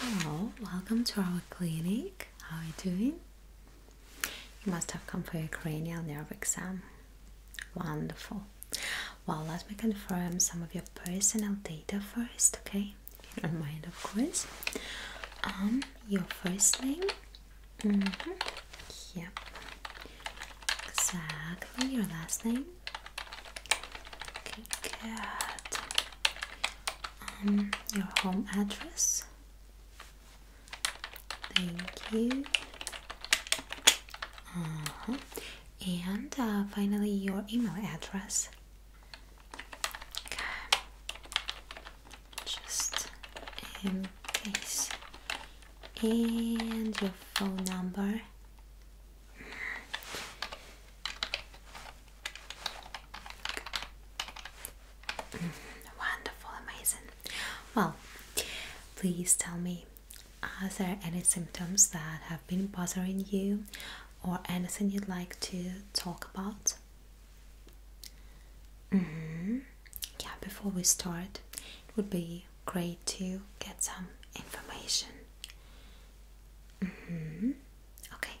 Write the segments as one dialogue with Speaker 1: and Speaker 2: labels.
Speaker 1: Hello, welcome to our clinic. How are you doing? You must have come for your cranial nerve exam. Wonderful. Well, let me confirm some of your personal data first, okay? If you don't mind, of course. Um, your first name. Mm -hmm. Yep. Exactly. Your last name. Okay, good. Um, your home address. Thank you. Uh-huh. And uh, finally, your email address. Okay. Just in case. And your phone number. Wonderful, amazing. Well, please tell me are there any symptoms that have been bothering you or anything you'd like to talk about? Mm-hmm. Yeah, before we start, it would be great to get some information. Mm-hmm. Okay,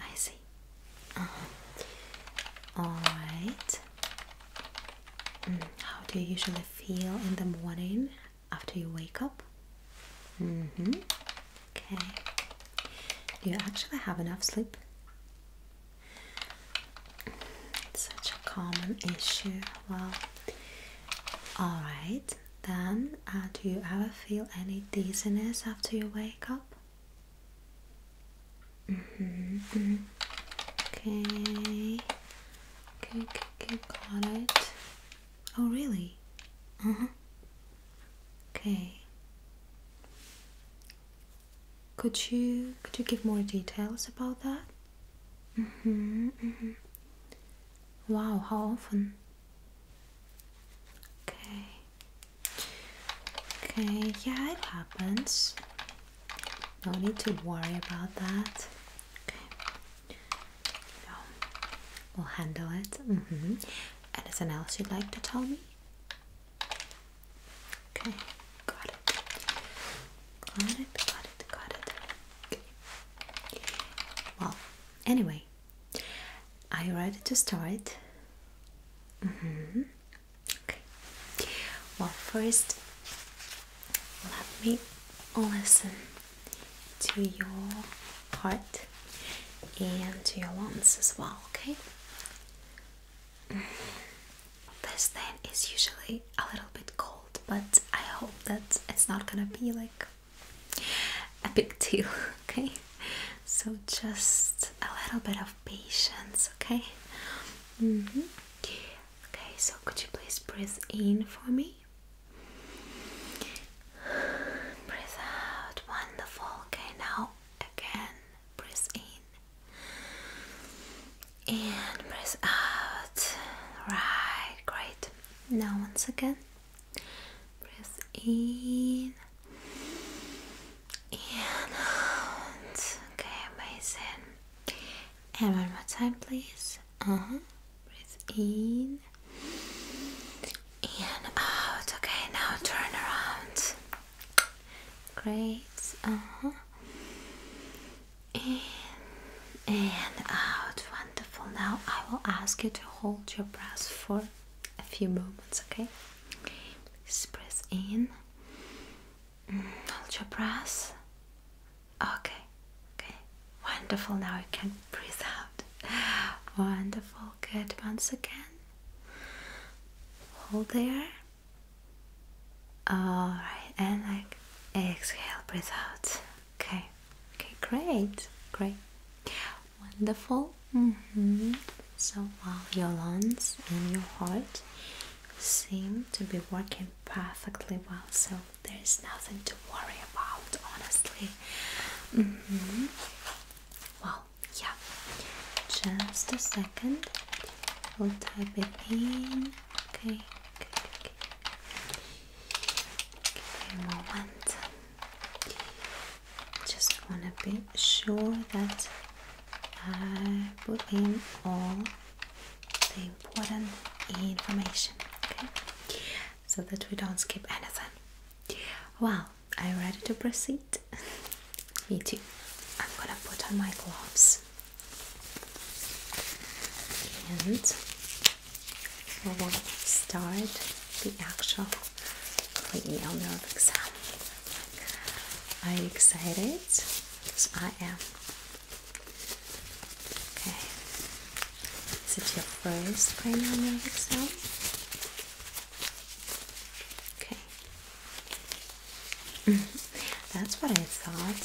Speaker 1: I see. Uh-huh. All right. Mm. How do you usually feel in the morning after you wake up? Mm-hmm. Okay. Do you actually have enough sleep? such a common issue. Well, all right. Then, uh, do you ever feel any dizziness after you wake up? Mm-hmm. Mm-hmm. Okay. Okay, okay, got it. Oh, really? Uh huh. Okay. Could you could you give more details about that? Mm-hmm. Mm-hmm. Wow, how often? Okay. Okay, yeah, it happens. No need to worry about that. Okay. No. We'll handle it. Mm -hmm. Anything else you'd like to tell me? Okay, got it. Got it, got it, got it. Well, anyway, are you ready to start? Mm -hmm. Okay. Well, first, let me listen to your heart and to your lungs as well, okay? Mm. This then is usually a little bit cold, but I hope that it's not gonna be like a big deal, okay? So just a little bit of patience, okay? Mm Okay, so could you please breathe in for me? Breathe out, wonderful. Okay, now again, breathe in and breathe out. Right, great. Now, once again, breathe in and out. Okay, amazing. And one more time, please. Uh-huh. Breathe in. And out. Okay, now turn around. Great. Uh-huh. In and out. Wonderful. Now I will ask you to hold your breath for a few moments, okay? Please breathe in. Mm, hold your breath. Okay, okay, wonderful. Now you can breathe out. Wonderful, good. Once again, hold there. All right, and like exhale, breathe out. Okay, okay, great, great, wonderful. Mm-hmm. So while your lungs and your heart seem to be working perfectly well, so there's nothing to worry about, honestly. Mm-hmm. Well, yeah, just a second. We'll type it in. Okay, okay, okay. Give me a moment. Just want to be sure that I put in all the important information okay so that we don't skip anything well are you ready to proceed me too i'm gonna put on my gloves and we will start the actual cranial nerve exam i you excited? Because I am. Okay. Is it your first cranial nerve exam? Okay. That's what I thought.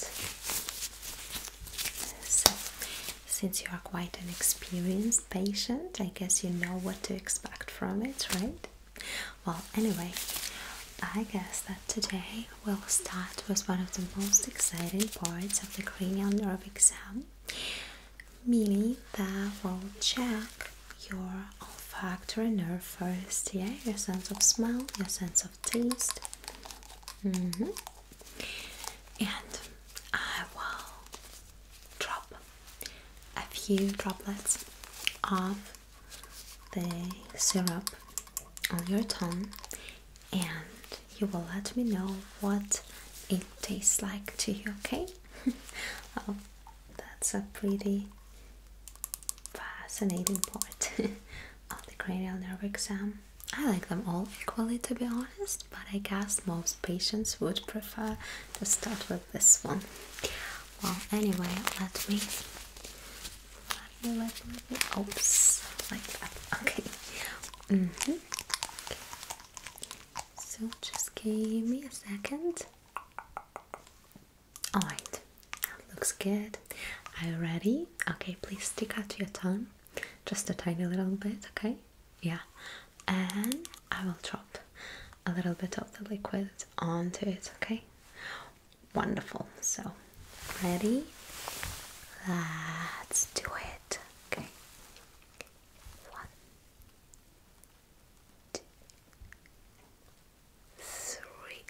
Speaker 1: So, since you are quite an experienced patient, I guess you know what to expect from it, right? Well, anyway, I guess today we'll start with one of the most exciting parts of the cranial nerve exam, Milly, that we'll check your olfactory nerve first, yeah, your sense of smell, your sense of taste. Mm-hmm. And I will drop a few droplets of the syrup on your tongue and you will let me know what it tastes like to you, okay? oh, that's a pretty fascinating part of the cranial nerve exam. I like them all equally to be honest, but I guess most patients would prefer to start with this one. Well, anyway, let me oops, like that. Mm-hmm. Okay. So just give me a second. All right. looks good. Are you ready? Okay. Please stick out your tongue, just a tiny little bit. Okay. Yeah. And I will drop a little bit of the liquid onto it. Okay. Wonderful. So, ready? Let's do it. Okay. One, two, three.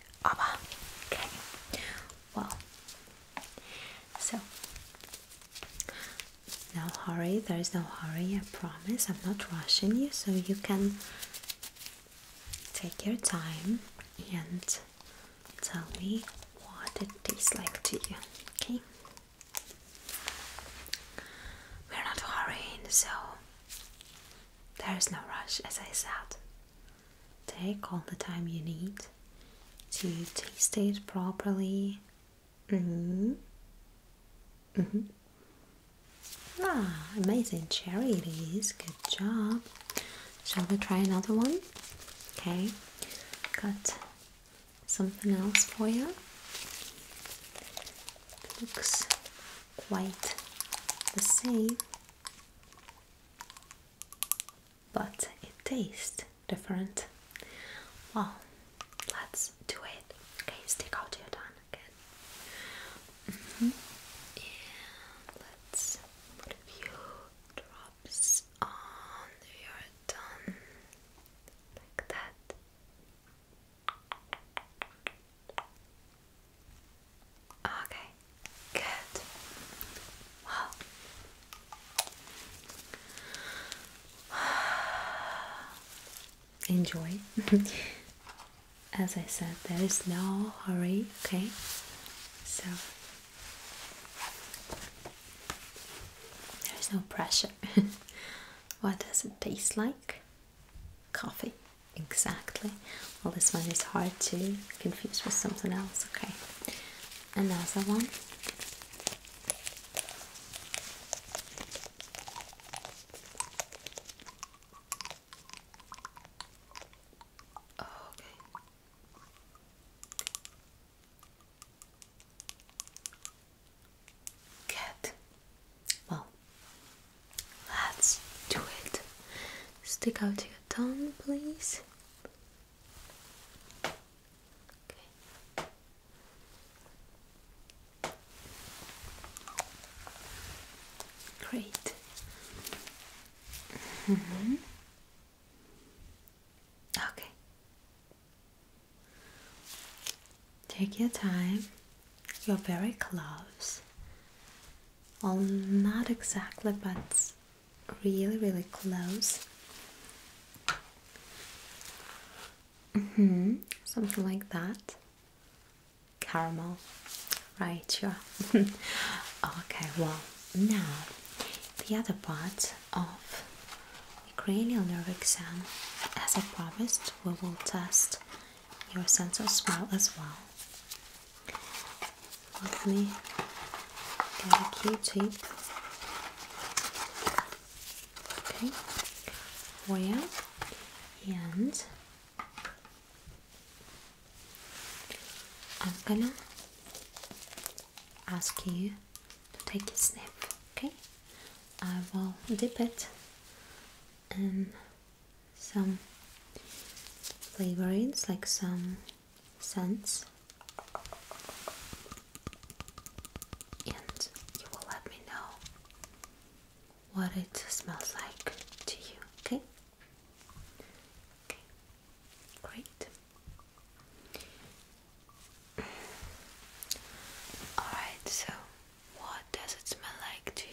Speaker 1: Okay. Well, so no hurry. There is no hurry. I promise. I'm not rushing you, so you can take your time and tell me what it tastes like to you, okay? We're not hurrying, so there is no rush, as I said. Take all the time you need to taste it properly. Mm hmm. Ah, amazing cherry it is. Good job. Shall we try another one? Okay, got something else for you. looks quite the same, but it tastes different. Well, let's do it. Okay, stick out your tongue again. Mm-hmm. And let's put drops oh, your tongue like that. Okay, good. Wow. Enjoy. As I said, there is no hurry, okay? So there's no pressure. what does it taste like? Coffee, exactly. Well, this one is hard to confuse with something else. Okay, another one. Okay, Good. Well, let's do it. Stick out your tongue, please. Great. Mm -hmm. Okay. Take your time. You're very close. Well, not exactly, but really, really close. Mm hmm Something like that. Caramel. Right, Yeah. okay, well, now the other part of the cranial nerve exam. As I promised, we will test your sense of smell as well. Let me get a Q-tip. Okay, for and I'm ask you to take a sniff, okay? I will dip it in some flavorings like some scents and you will let me know what it smells like to you, okay? Okay, great. Alright, so what does it smell like to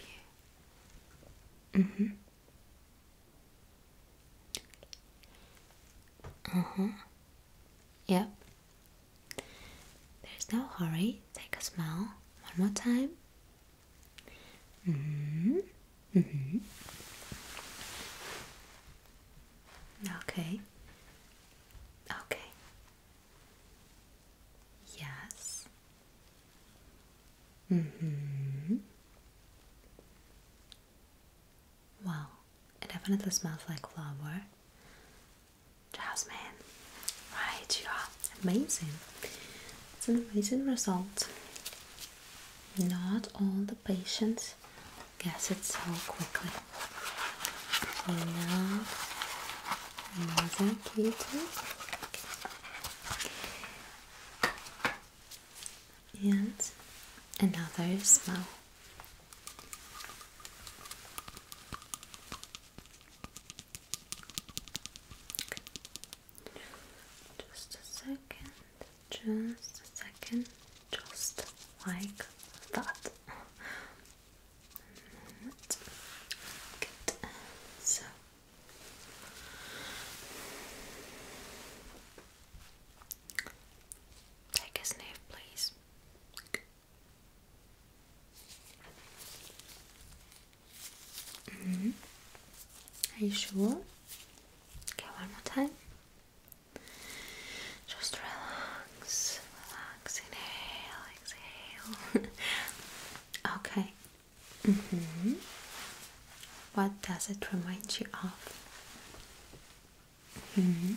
Speaker 1: you? Mm hmm. Uh mm-hmm. huh. Yep. There's no hurry. Take a smell. One more time. hmm. Mm-hmm. Okay. Okay. Yes. Mm-hmm. Well, it definitely smells like flower. Jasmine. Right, you are amazing. It's an amazing result. Not all the patients not guess it so quickly. So another key tip and another smell. Just a second. Just a second, just like that. So take a sniff, please. Mm-hmm. Are you sure? Okay, one more time. Just relax, relax, inhale, exhale. okay. Mm -hmm. What does it remind you of? Mm -hmm.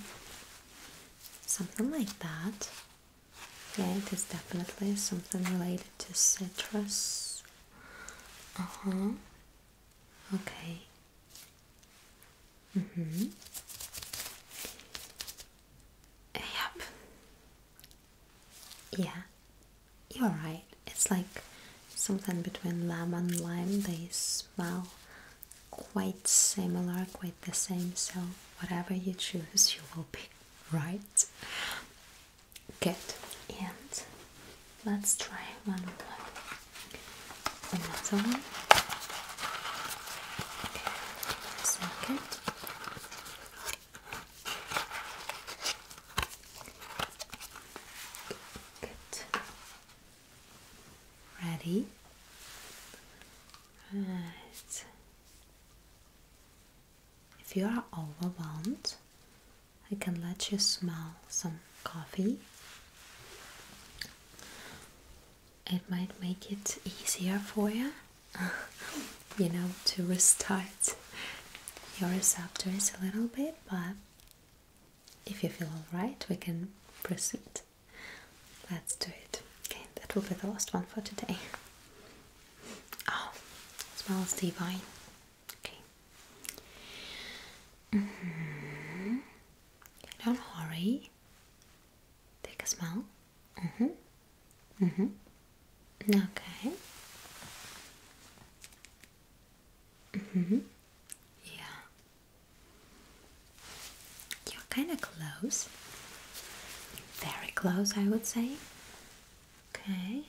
Speaker 1: Something like that. Yeah, it is definitely something related to citrus. Uh huh. Okay. Mm -hmm. Yep. Yeah, you're right. It's like something between lemon and lime. They smell quite similar, quite the same. So, whatever you choose, you will be right. Good. And Let's try one more. Another one. Second. Good. Ready? Right. If you are overwhelmed, I can let you smell some coffee. It might make it easier for you, you know, to restart your receptors a little bit. But if you feel alright, we can proceed. Let's do it. Okay, that will be the last one for today. Oh, smells divine. Okay. Mm-hmm. Don't hurry. Take a smell. Mm-hmm. Mm-hmm. Okay. Mm-hmm. Yeah. You're kinda close. Very close I would say. Okay.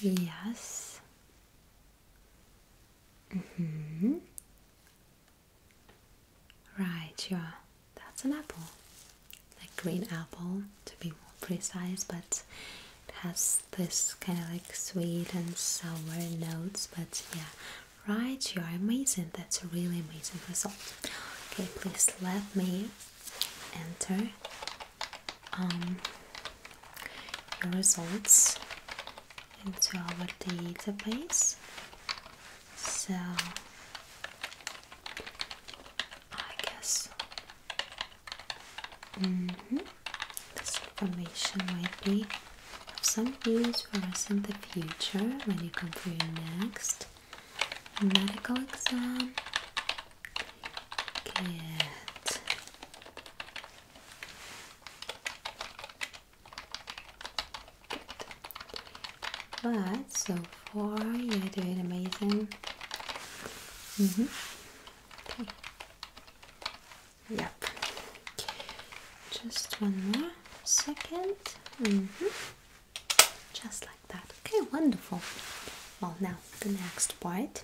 Speaker 1: Yes. Mm -hmm. Right, yeah, That's an apple. Like green apple to be more precise, but it has this kind of like sweet and sour notes, but yeah. Right, you are amazing. That's a really amazing result. Okay, please let me enter um, your results into our database. So I guess mm-hmm, this information might be of some use for us in the future when you come for your next medical exam. Good. But so far you're doing amazing. Mm -hmm. Okay. Yep. Just one more second. -hmm. Just like that. Okay, wonderful. Well, now the next part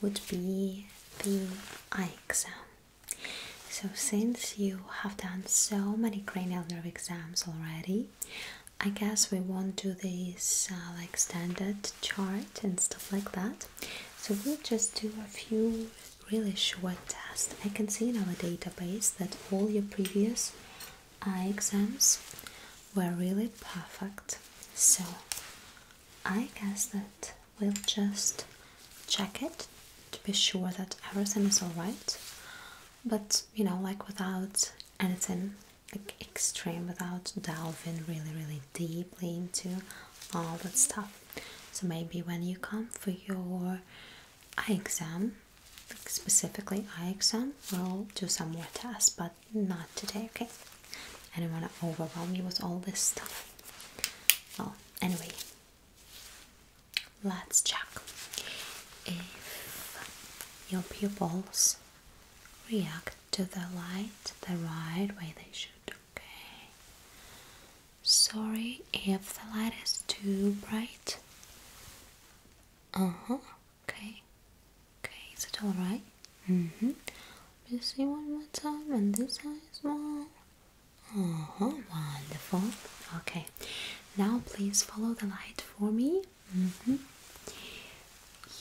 Speaker 1: would be the eye exam. So, since you have done so many cranial nerve exams already, I guess we won't do this uh, like standard chart and stuff like that. So, we'll just do a few really short tests. I can see in our database that all your previous eye exams were really perfect. So, I guess that we'll just check it to be sure that everything is alright, but you know, like without anything like extreme, without delving really, really deeply into all that stuff. So maybe when you come for your eye exam, specifically eye exam, we'll do some more tests, but not today, okay? I do not want to overwhelm you with all this stuff. Well, anyway, let's check if your pupils react to the light the right way they should. Okay. Sorry if the light is too bright. Uh huh. Okay. Okay. Is it all right? Mm hmm. Let me see one more time And this side is well. Uh Wonderful. Okay. Now please follow the light for me. Mm hmm.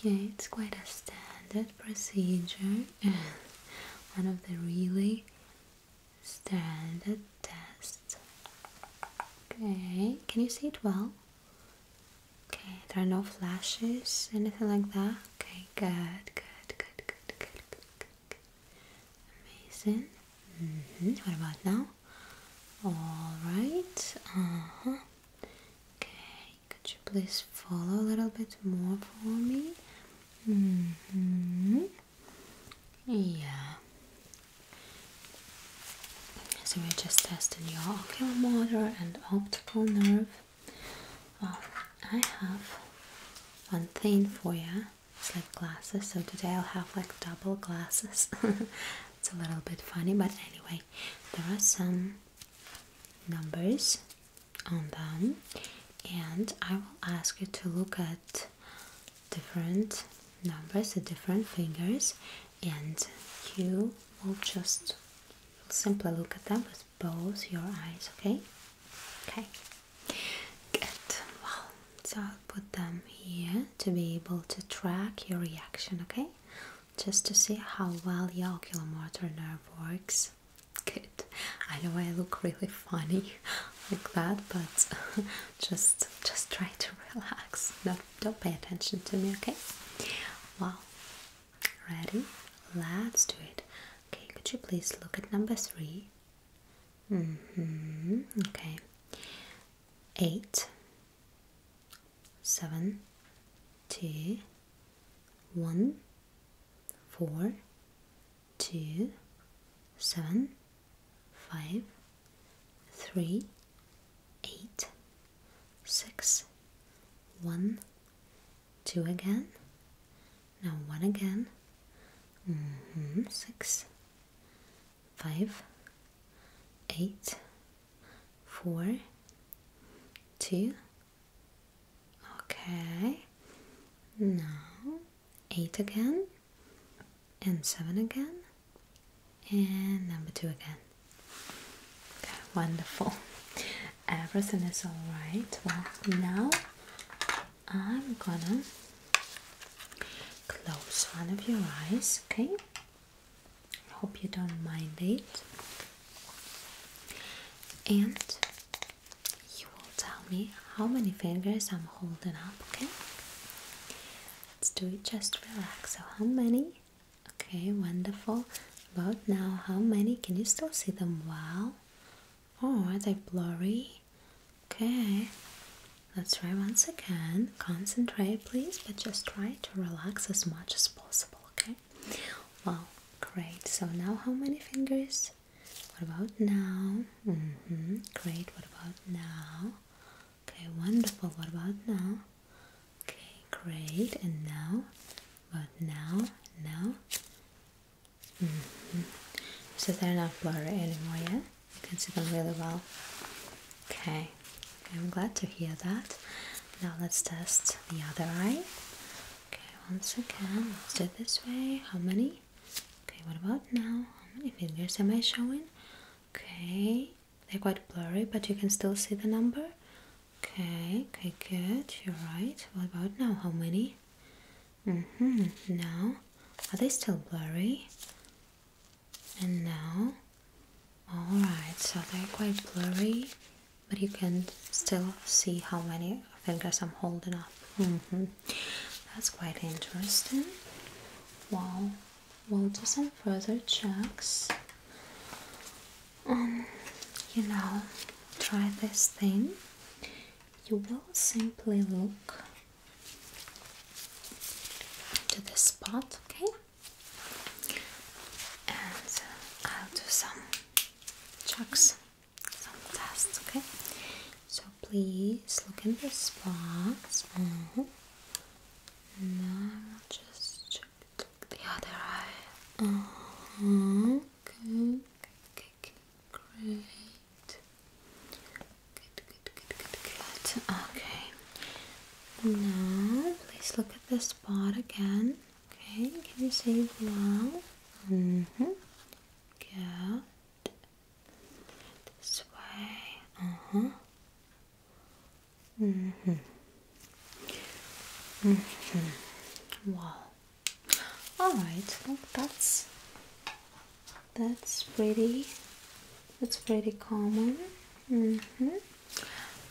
Speaker 1: Yeah, it's quite a standard procedure. one of the really standard tests. Okay. Can you see it well? Okay, there are no flashes, anything like that. Okay, Good. good, good, good, Amazing. Mm -hmm. What about now? All right. Uh huh. Okay. Could you please follow a little bit more for me? Mm hmm. Yeah. So we're just testing your ocular motor and optical nerve well, I have one thing for you. It's like glasses, so today I'll have like double glasses. it's a little bit funny, but anyway, there are some numbers on them, and I will ask you to look at different numbers, the different fingers, and you will just simply look at them close both your eyes, okay? Okay. Good. Well, so I'll put them here to be able to track your reaction, okay? Just to see how well your ocular motor nerve works. Good. I know I look really funny like that, but just just try to relax. Don't don't pay attention to me, okay? Wow. Ready? Let's do it. Okay, could you please look at number three? hmm. Okay. Eight, seven, two, one, four, two, seven, five, three, eight, six, one, two again, now one again, mm -hmm. six, five, eight, four, two, okay, now eight again, and seven again, and number two again. Okay, wonderful everything is all right. Well, now I'm gonna close one of your eyes, okay? hope you don't mind it. And you will tell me how many fingers I'm holding up, okay? Let's do it, just relax. So, how many? Okay, wonderful. About now, how many? Can you still see them well? Oh, they are blurry? Okay, let's try once again. Concentrate, please, but just try to relax as much as possible. Okay, well, great. So, now how many fingers? What about now? Mm hmm, great. What about now? Okay, wonderful. What about now? Okay, great. And now, but now, now, Mm-hmm. So they're not blurry anymore, yeah? You can see them really well. Okay, I'm glad to hear that. Now let's test the other eye. Okay, once again, let's do it this way. How many? Okay, what about now? How many fingers am I showing? Okay, they're quite blurry, but you can still see the number. Okay, okay, good, you're right. What about now? How many? Mm hmm. Now, are they still blurry? And now, alright, so they're quite blurry, but you can still see how many fingers I'm holding up. Mm hmm. That's quite interesting. Well, we'll do some further checks. Um, you know, try this thing you will simply look to this spot, okay? And I'll do some checks, some tests, okay? So please look in this box. Now just check the other eye. Uh-huh. Okay, okay, okay. Great. Good, good, good, good, good. Okay. Now, please look at this spot again. Okay, can you see well? Mm hmm. Good. This way. Uh huh. Mm hmm. Mm hmm. Wow all right well, that's that's pretty that's pretty common mm-hmm.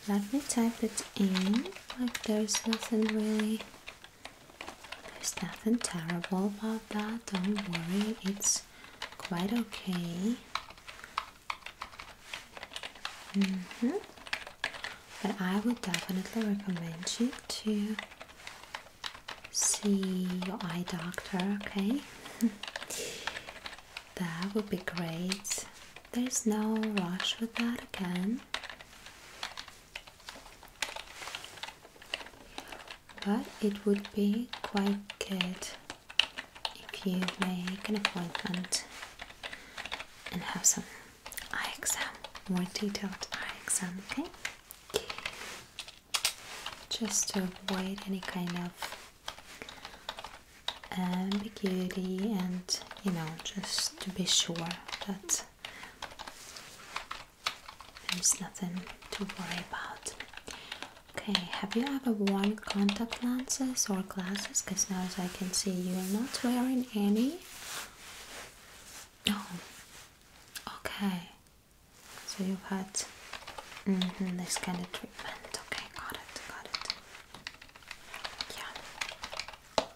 Speaker 1: let me type it in like there's nothing really there's nothing terrible about that don't worry it's quite okay mm -hmm but I would definitely recommend you to see your eye doctor, okay? that would be great. There's no rush with that again. But it would be quite good if you make an appointment and have some eye exam, more detailed eye exam, okay? Just to avoid any kind of ambiguity and you know, just to be sure that there's nothing to worry about. Okay, have you ever worn contact lenses or glasses? Because now, as I can see, you are not wearing any. Oh, Okay, so you've had mm-hmm, this kind of treatment. Okay, got it, got it. Yeah.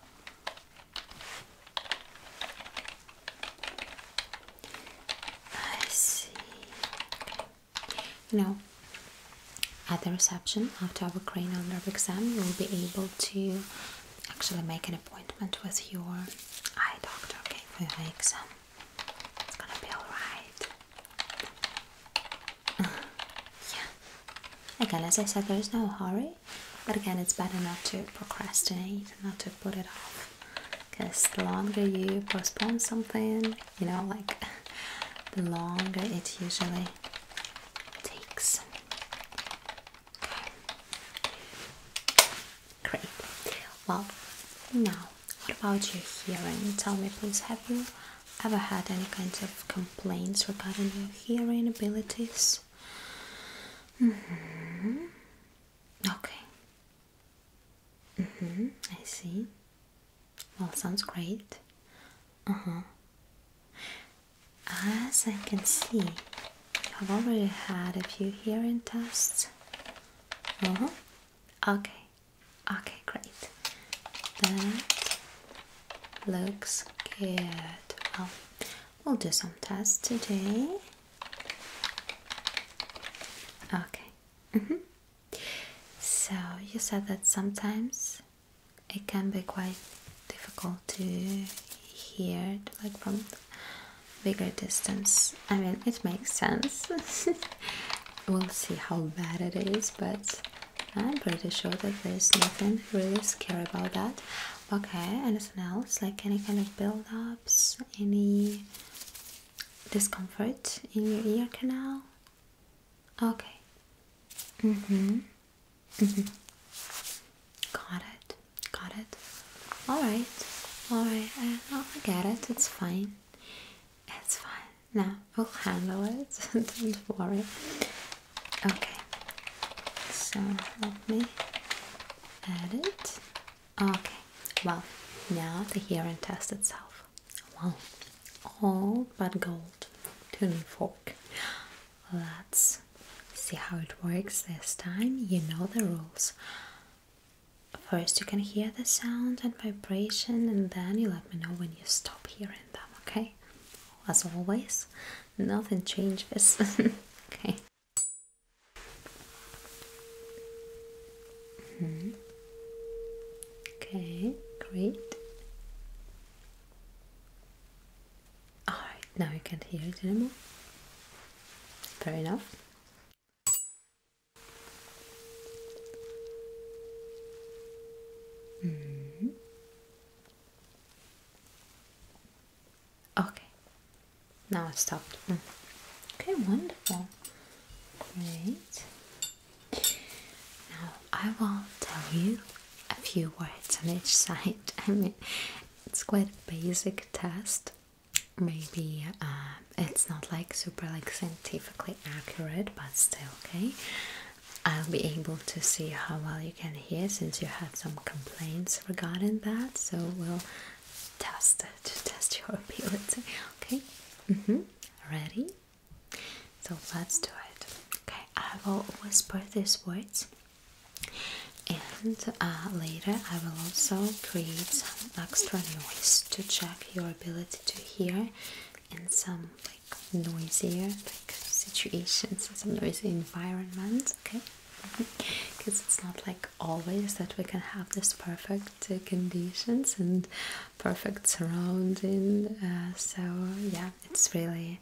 Speaker 1: I see. You know, at the reception after our cranial nerve exam, we will be able to actually make an appointment with your eye doctor, okay, for your exam. It's gonna be alright. yeah. Again, as I said, there's no hurry, but again, it's better not to procrastinate, not to put it off. Because the longer you postpone something, you know, like the longer it usually takes. Great. Well, now, what about your hearing? Tell me, please, have you ever had any kinds of complaints regarding your hearing abilities? Mm hmm. Okay. Mm hmm. I see. Well, sounds great. Uh huh. As I can see, I've already had a few hearing tests. Uh -huh. Okay, okay, great. That looks good. Well, we'll do some tests today. Okay. Mm -hmm. So you said that sometimes it can be quite difficult to hear like from bigger distance. I mean, it makes sense. we'll see how bad it is, but I'm pretty sure that there's nothing really scary about that. Okay, anything else? Like any kind of build ups? Any discomfort in your ear canal? Okay. Mm hmm. Mm hmm. Got it. Got it? Alright, alright, I, I get it, it's fine. It's fine. Now we'll handle it, don't worry. Okay, so let me add it. Okay, well, now the hearing test itself. Well, all but gold tuning fork. Let's See how it works this time? You know the rules. First, you can hear the sound and vibration, and then you let me know when you stop hearing them, okay? As always, nothing changes, okay? -hmm. Okay, great. Alright, now you can't hear it anymore. Fair enough. Mm-hmm. Okay, now it's stopped. Mm. Okay, wonderful. Great. Now I will tell you a few words on each side. I mean, it's quite a basic test, maybe uh, it's not like super like scientifically accurate, but still okay. I'll be able to see how well you can hear since you had some complaints regarding that. So we'll test it to test your ability. Okay. Mm-hmm. Ready? So let's do it. Okay. I will whisper these words and uh, later I will also create some extra noise to check your ability to hear in some like noisier like situations some noisy environments okay because mm-hmm. it's not like always that we can have this perfect uh, conditions and perfect surrounding uh, so yeah it's really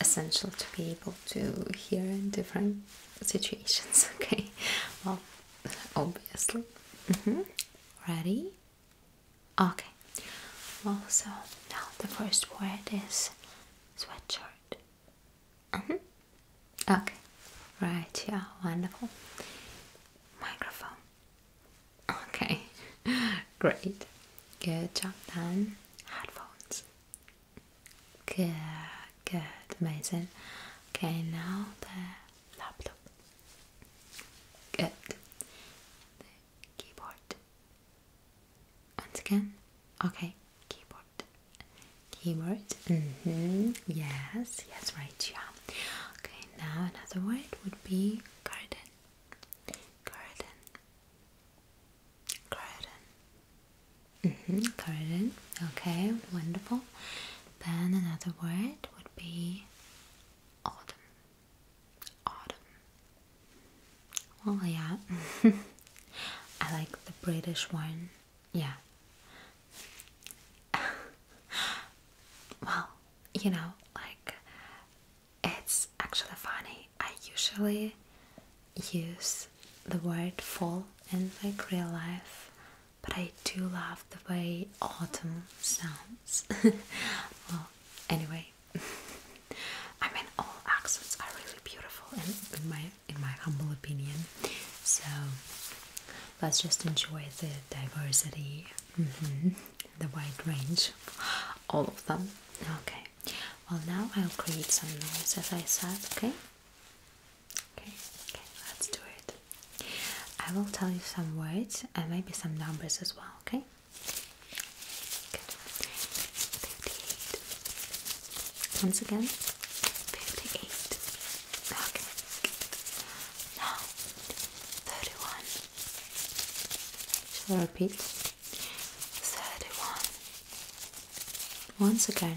Speaker 1: essential to be able to hear in different situations. Okay, well, obviously. Mm -hmm. Ready? Okay. Well, so now the first word is sweatshirt. Mm -hmm. Okay. Right. Yeah. Wonderful. Microphone. Okay. Great. Good job done. Headphones. Good, good, amazing. Okay, now the laptop. Good. The keyboard. Once again. Okay, keyboard. Keyboard. Mm-hmm. Yes, yes, right, yeah. Okay, now another word would be garden. Garden. Keratin. Mm -hmm. Keratin. Okay, wonderful. Then another word would be autumn. Autumn. Well, yeah. I like the British one. Yeah. well, you know, like it's actually funny. I usually use the word fall in my real life, but I do love the way autumn sounds. well, anyway, I mean all accents are really beautiful, in, my in my humble opinion. So let's just enjoy the diversity, mm-hmm, the wide range, all of them. Okay. Well, now I'll create some noise, as I said. Okay. Okay, okay, let's do it. I will tell you some words and maybe some numbers as well, okay? 58. Once again, 58. Okay. Now, 31. Shall I repeat? 31. Once again,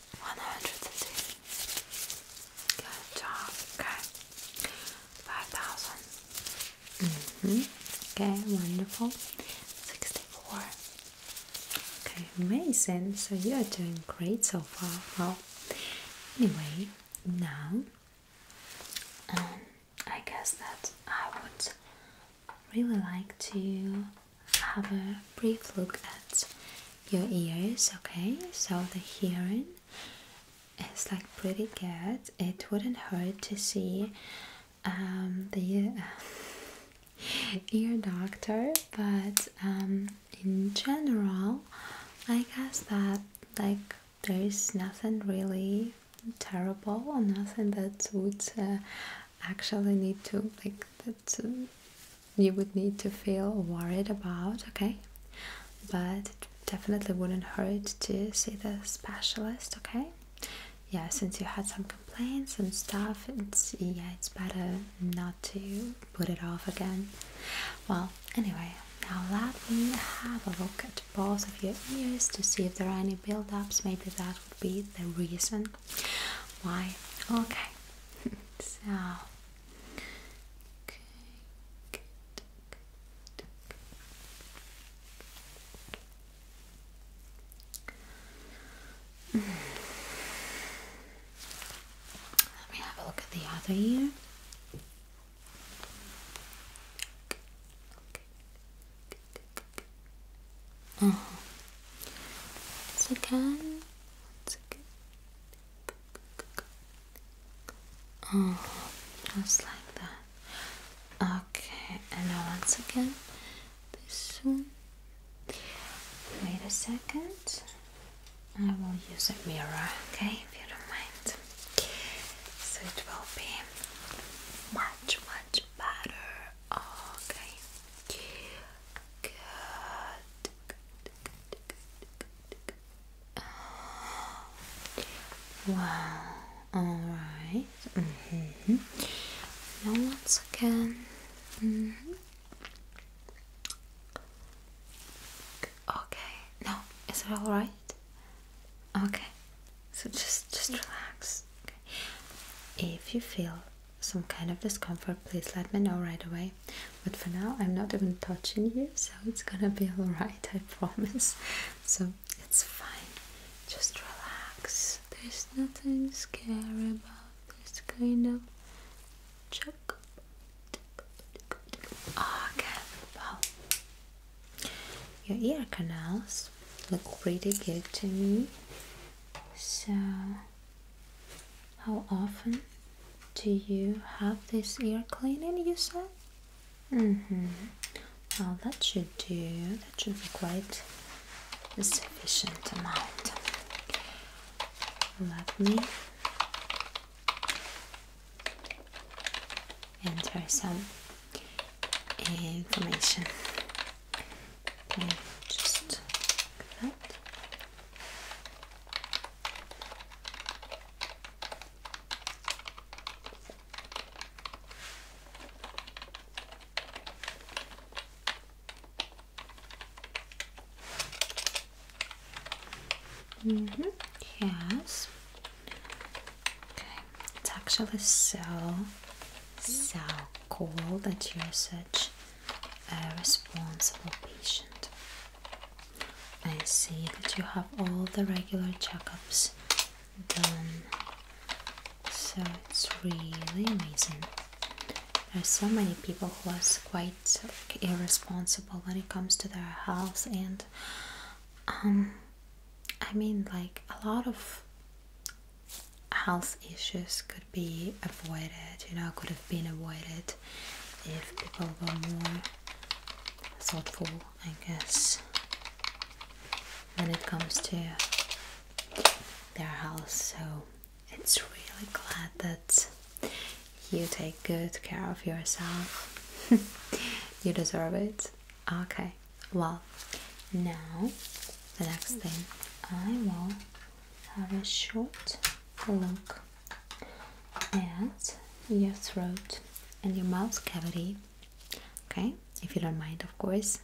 Speaker 1: 102. Good job. Okay. 5,000. Mm-hmm. Okay, wonderful. 64. Okay, amazing. So you are doing great so far. Well, anyway, now um, I guess that I would really like to have a brief look at your ears, okay? So the hearing is like pretty good. It wouldn't hurt to see um, the uh, ear doctor, but um, in general, I guess that like there is nothing really terrible or nothing that would uh, actually need to like to you would need to feel worried about, okay? But definitely wouldn't hurt to see the specialist, okay? Yeah, since you had some complaints and stuff, it's yeah, it's better not to put it off again. Well, anyway, now let me have a look at both of your ears to see if there are any build-ups. Maybe that would be the reason why. Okay, so Okay, good, good, good. Mm. Let me have a look at the other ear. Okay. Uh -huh. Once again, once again. Oh, just like that. Okay, and now once again, this one. Wait a second. I will use a mirror, okay, if you don't mind. So it will be much, much better. Okay. Good. Wow, alright. Mm Now, once again. Mm-hmm. Okay, now, is it alright? Okay, so just, just relax. Okay. If you feel some kind of discomfort, please let me know right away. But for now, I'm not even touching you, so it's gonna be alright, I promise. So it's fine, just relax. There's nothing scary about this kind of check. Okay, your ear canals look pretty good to me. So how often do you have this ear cleaning, you said? Mm-hmm. Well, that should do. That should be quite a sufficient amount. Let me enter some information. Okay, just like Mm -hmm. Yes. Okay. It's actually so so cool that you're such a responsible patient. I see that you have all the regular checkups done, so it's really amazing. There's so many people who are quite irresponsible when it comes to their health, and um, I mean, like a lot of health issues could be avoided. You know, could have been avoided if people were more thoughtful, I guess, when it comes to their health. So it's really glad that you take good care of yourself. you deserve it. Okay, well, now the next thing I will have a short look and your throat and your mouth cavity. Okay, if you don't mind, of course.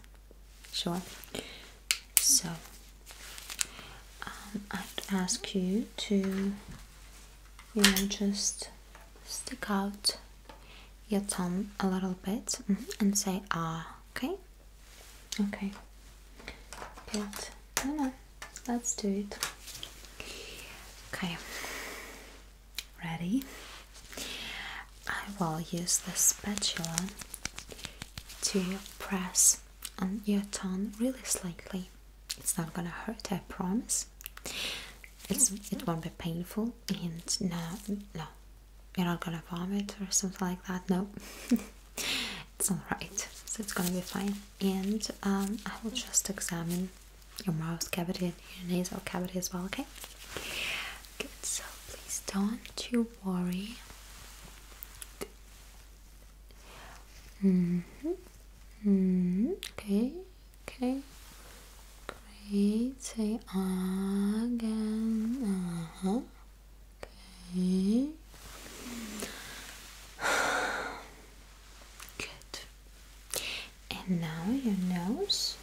Speaker 1: Sure. So um, I'd ask you to, you know, just stick out your tongue a little bit mm-hmm, and say ah. Okay. Okay. Good let's do it. Okay, ready? I will use the spatula to press on your tongue really slightly. It's not gonna hurt, I promise. It's it won't be painful, and no, no, you're not gonna vomit or something like that. No, it's all right. So it's gonna be fine and um, I will just examine your mouth cavity and your nasal cavity as well, okay? Good, so please don't you worry. Mm hmm mm hmm Okay, okay. Great. Say again. Uh-huh. Okay. Good. And now your nose.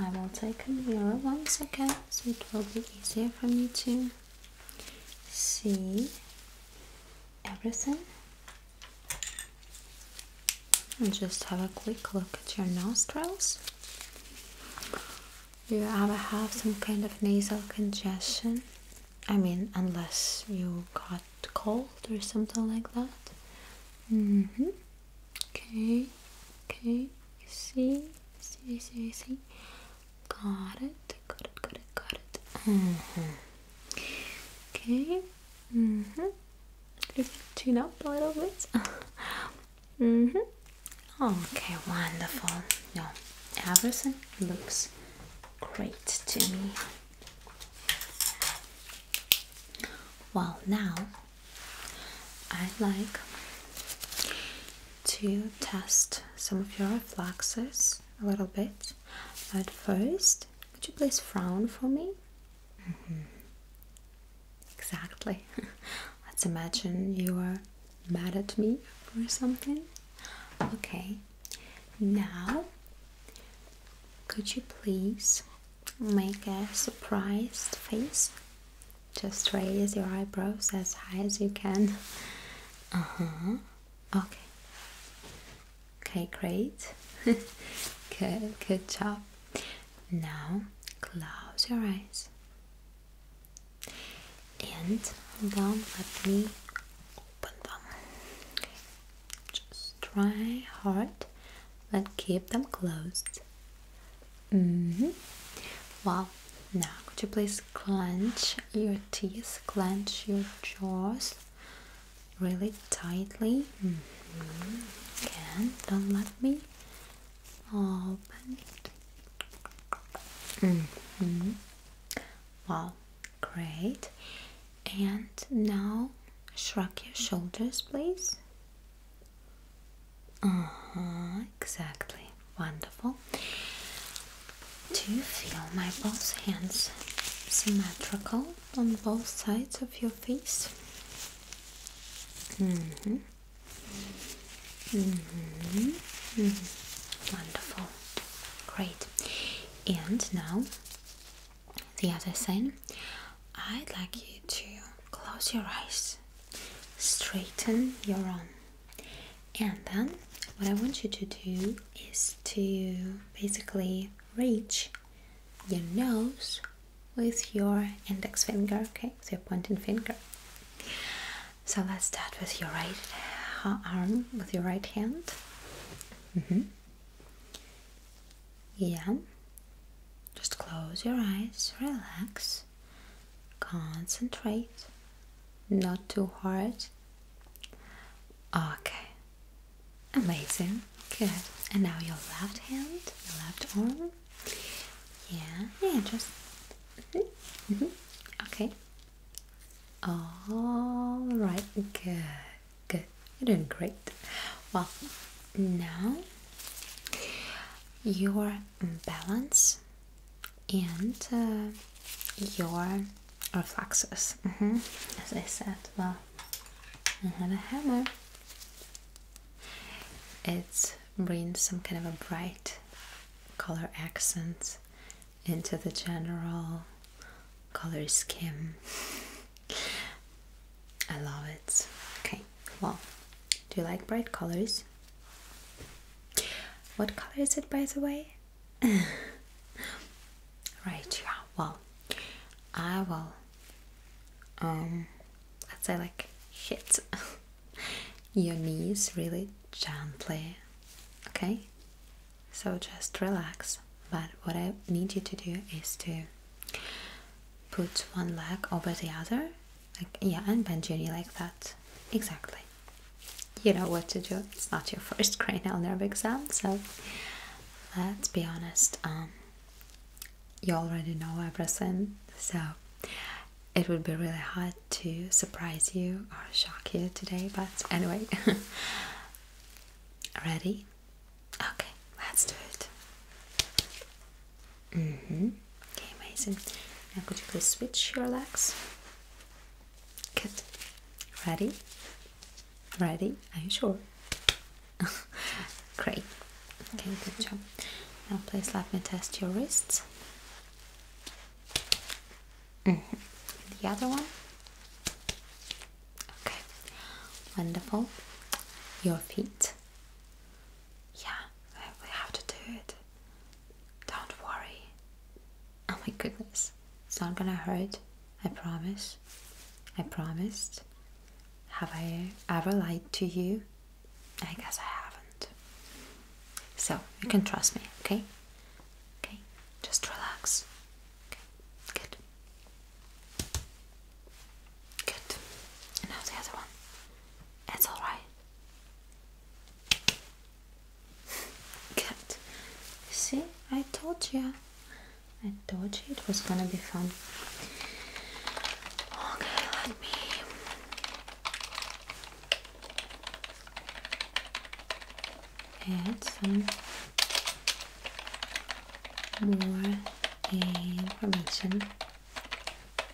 Speaker 1: I will take a mirror once again so it will be easier for me to see everything. And just have a quick look at your nostrils. Do you ever have some kind of nasal congestion? I mean, unless you got got cold or something like that. Mm hmm. Okay. Okay. You see? See, see, see. Got it. Got it, got it, got it. Mm hmm. Okay. Mm hmm. Just tune up a little bit. mm hmm. Okay, wonderful. No, everything looks great to me. Well, now i like to test some of your reflexes a little bit. At first, could you please frown for me? Mm-hmm. Exactly. Let's imagine you are mad at me or something. Okay, now could you please make a surprised face? Just raise your eyebrows as high as you can. Uh huh. Okay. Okay, great. good, good job. Now close your eyes and don't let me open them. Just try hard, but keep them closed. Mm -hmm. Wow. Now, could you please clench your teeth, clench your jaws really tightly? Mm-hmm. Again, don't let me open it. Mm -hmm. Wow, Great. And now shrug your shoulders, please. Uh huh, exactly. Wonderful. Do you feel my both hands symmetrical on both sides of your face? Mm hmm. Mm hmm. Mm -hmm. Wonderful. Great. And now the other side. I'd like you to close your eyes, straighten your arm, and then what I want you to do is to basically reach your nose with your index finger, okay? So your pointing finger. So let's start with your right arm, with your right hand. Mm-hmm. Yeah. Just close your eyes, relax, concentrate, not too hard. Okay, amazing, good. And now your left hand, your left arm. Yeah, yeah, just. Mm-hmm, mm-hmm. Okay. All right, good. Good. You're doing great. Well, now your balance and uh, your reflexes. Mm-hmm. As I said, well, I have a hammer. It brings some kind of a bright color accent into the general color scheme. I love it. Okay, well, do you like bright colors? What color is it, by the way? right, yeah, well, I will, um, let's say, like, hit your knees really gently, okay? So just relax. But what I need you to do is to put one leg over the other, like yeah, and bend your knee like that. Exactly. You know what to do. It's not your first cranial nerve exam, so let's be honest. Um, you already know everything, so it would be really hard to surprise you or shock you today. But anyway, ready? Okay, let's do it. Mm-hmm. Okay, amazing. Now could you please switch your legs? Good. Ready? Ready? Are you sure? Great. Okay, good mm-hmm. job. Now please let me test your wrists. Mm-hmm. The other one. Okay, wonderful. Your feet. Yeah, we have to do it. Don't worry. Oh my goodness, it's not gonna hurt. I promise. I promised. Have I ever lied to you? I guess I haven't. So you can trust me, okay? Okay, just relax. Okay, good. Good. now the other one. It's alright. Good. see, I told you. I told you it was gonna be fun. Okay, let me. Add more information.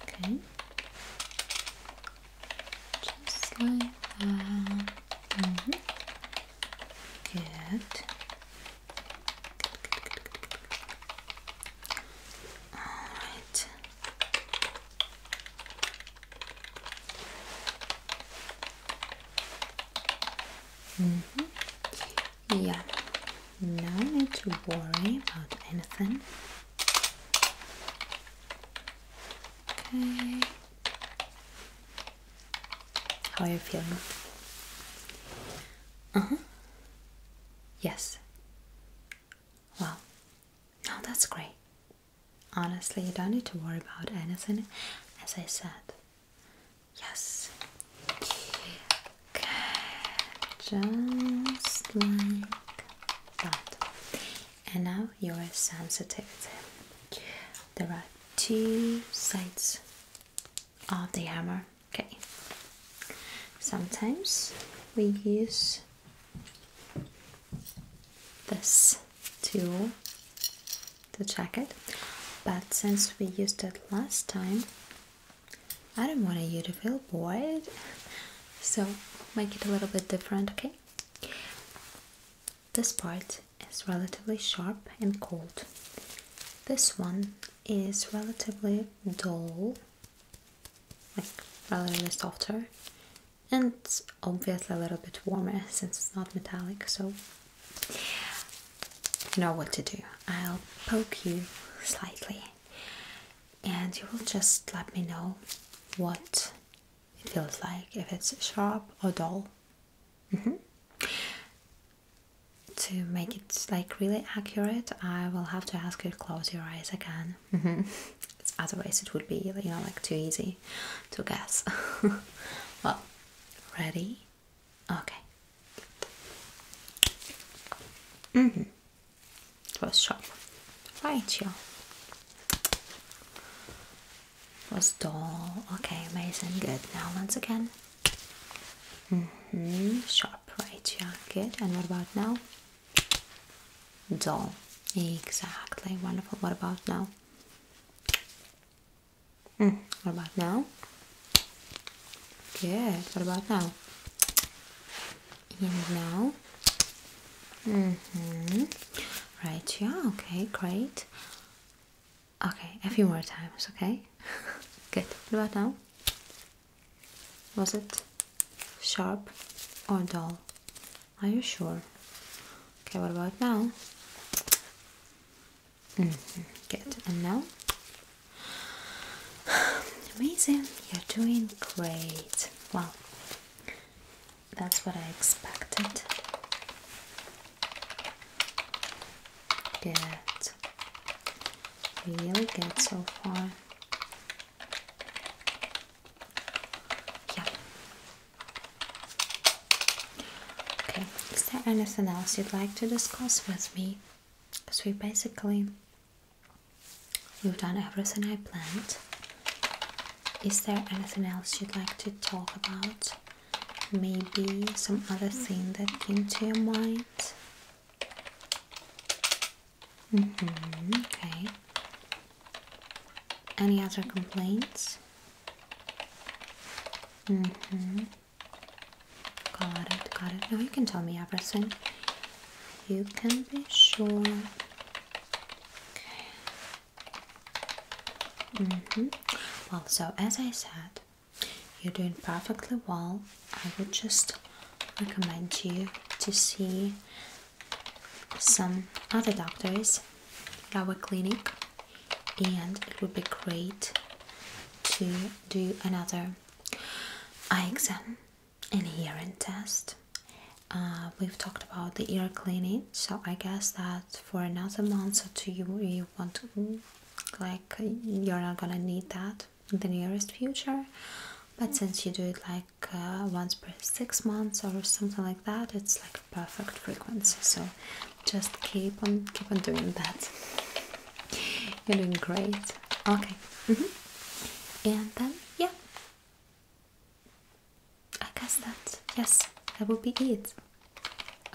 Speaker 1: Okay, just like that. Mm -hmm. Good. All right. Mm -hmm. Yeah, no need to worry about anything. Okay. How are you feeling? Uh-huh. Yes. Well, no, that's great. Honestly, you don't need to worry about anything, as I said. Yes. Okay, just like that. And now your sensitivity. There are two sides of the hammer. Okay. Sometimes we use this tool to check it, but since we used it last time I don't want to use to feel bored so make it a little bit different okay this part is relatively sharp and cold this one is relatively dull like relatively softer and obviously a little bit warmer since it's not metallic so you know what to do. I'll poke you slightly, and you will just let me know what it feels like if it's sharp or dull. Mm-hmm. To make it like really accurate, I will have to ask you to close your eyes again. Mm-hmm. Otherwise, it would be you know like too easy to guess. well, ready? Okay. Mm-hmm. Was sharp, Right, yeah. Was dull. Okay, amazing. Good. Now once again. Mm-hmm. Sharp, right, yeah. Good. And what about now? Dull. Exactly. Wonderful. What about now? Mm, what about now? Good. What about now? And now? Mm hmm Right, yeah, okay, great. Okay, a few more times, okay? Good. What about now? Was it sharp or dull? Are you sure? Okay, what about now? Mm-hmm. Get And now? Amazing. You're doing great. Well, That's what I expected. Good. Really good so far. Yeah. Okay, is there anything else you'd like to discuss with me? Because we basically you have done everything I planned. Is there anything else you'd like to talk about? Maybe some other thing that came to your mind? Mm-hmm, okay. Any other complaints? Mm-hmm. Got it, got it. Now oh, you can tell me everything. You can be sure. Okay. -hmm. Well, so as I said, you're doing perfectly well. I would just recommend you to see some other doctors at our clinic and it would be great to do another exam and hearing test. Uh, we've talked about the ear cleaning, so I guess that for another month or two, you, want to, like, you're not gonna need that in the nearest future. But mm. since you do it like uh, once per six months or something like that, it's like perfect frequency. So just keep on keep on doing that. You're doing great. Okay. Mm-hmm. And then yeah. I guess that yes, that will be it.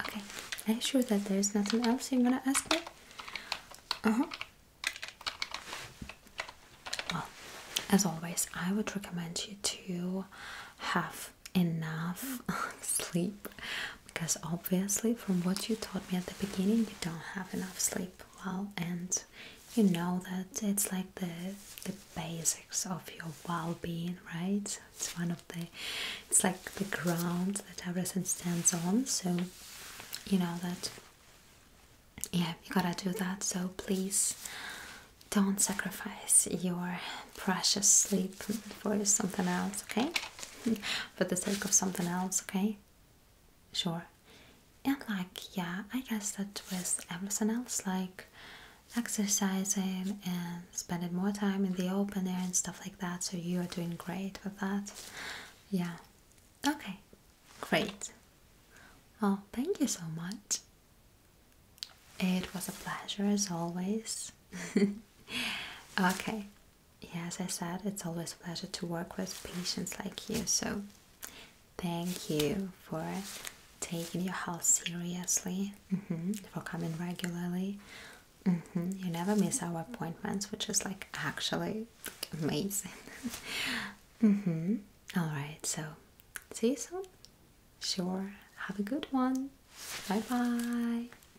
Speaker 1: Okay. Are you sure that there's nothing else you're gonna ask me? Uh-huh. Well, as always, I would recommend you to have enough sleep because obviously from what you taught me at the beginning you don't have enough sleep well and you know that it's like the the basics of your well-being right it's one of the it's like the ground that everything stands on so you know that yeah you gotta do that so please don't sacrifice your precious sleep for something else okay for the sake of something else, okay? Sure. And like, yeah, I guess that with everything else, like exercising and spending more time in the open air and stuff like that, so you are doing great with that. Yeah. Okay. Great. Oh, thank you so much. It was a pleasure as always. okay, yeah, as I said, it's always a pleasure to work with patients like you. So, thank you for taking your health seriously, mm-hmm, for coming regularly. Mm-hmm, you never miss our appointments, which is like actually amazing. Mm-hmm, All right, so see you soon. Sure, have a good one. Bye bye.